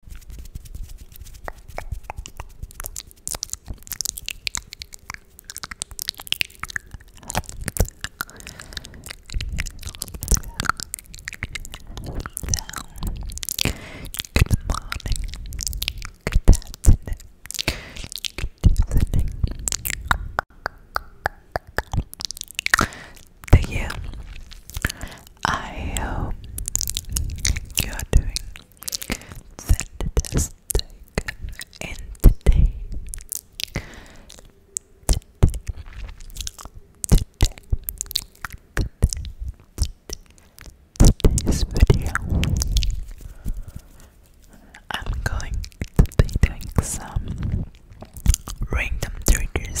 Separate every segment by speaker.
Speaker 1: Good morning. Good afternoon. Good evening. Thank you I hope you are doing fantastic. And today, today, today, today, today's video, I'm going to be doing some random triggers,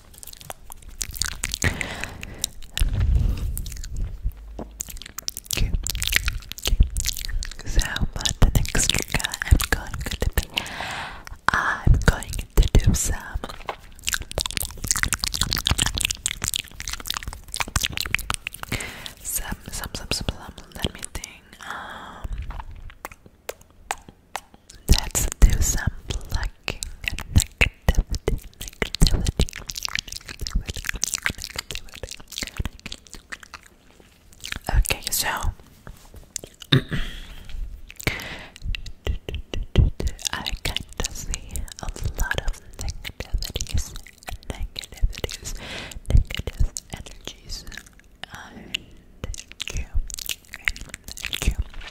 Speaker 1: Okay. okay. So for the next trigger, I'm going to be, I'm going to do some. Some, some, some, some, some, let me think, um, let's do some plucking and plucking, Okay, so I kind of see a lot of negativities, negativities, negative energies, and you, and you.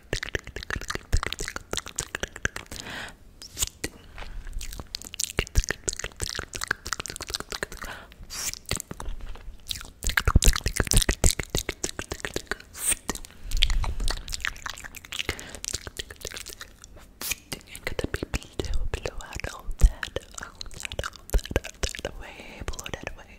Speaker 1: And get the people to blow out all that, all that, all that, all that away, blow that away.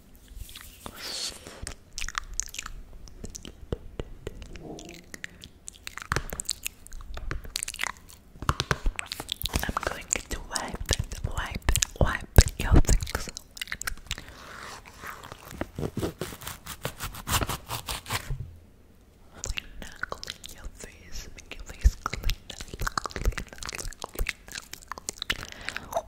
Speaker 2: I'm going to wipe, wipe, wipe your things. Clean, clean your face, make your face clean, clean, clean, clean.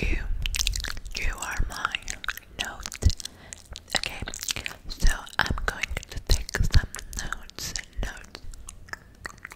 Speaker 3: You, you are my note. Okay, so I'm going to take some notes, notes.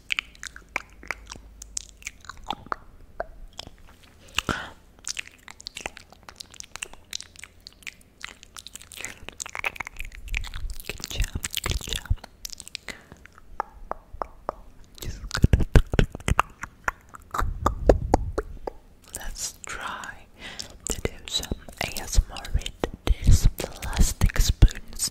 Speaker 3: Good job, good job. Let's try to do some ASMR
Speaker 4: with these plastic spoons.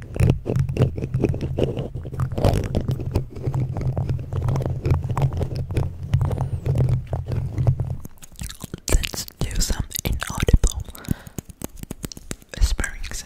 Speaker 5: Let's do some inaudible whisperings.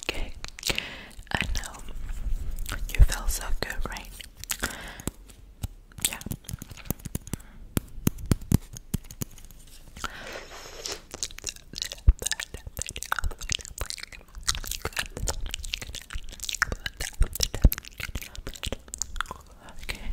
Speaker 5: Okay, I know you feel so good, right? Yeah. Okay.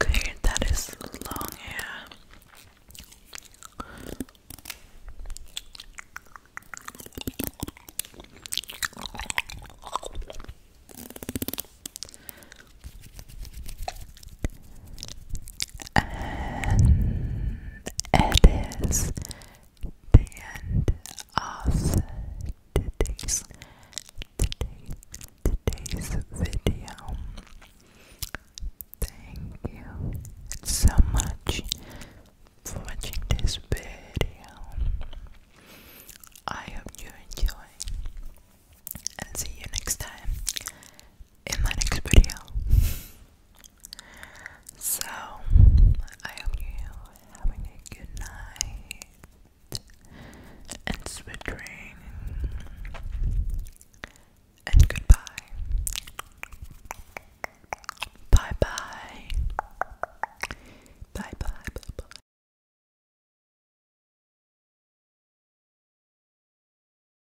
Speaker 5: Okay, that is long hair. And it is the end of today's, video. Thank you so much for watching this video. I hope you enjoy and see you next time in my next video. so, I hope you're having a good night and sweet dreams and goodbye. Bye bye. Bye bye bye bye.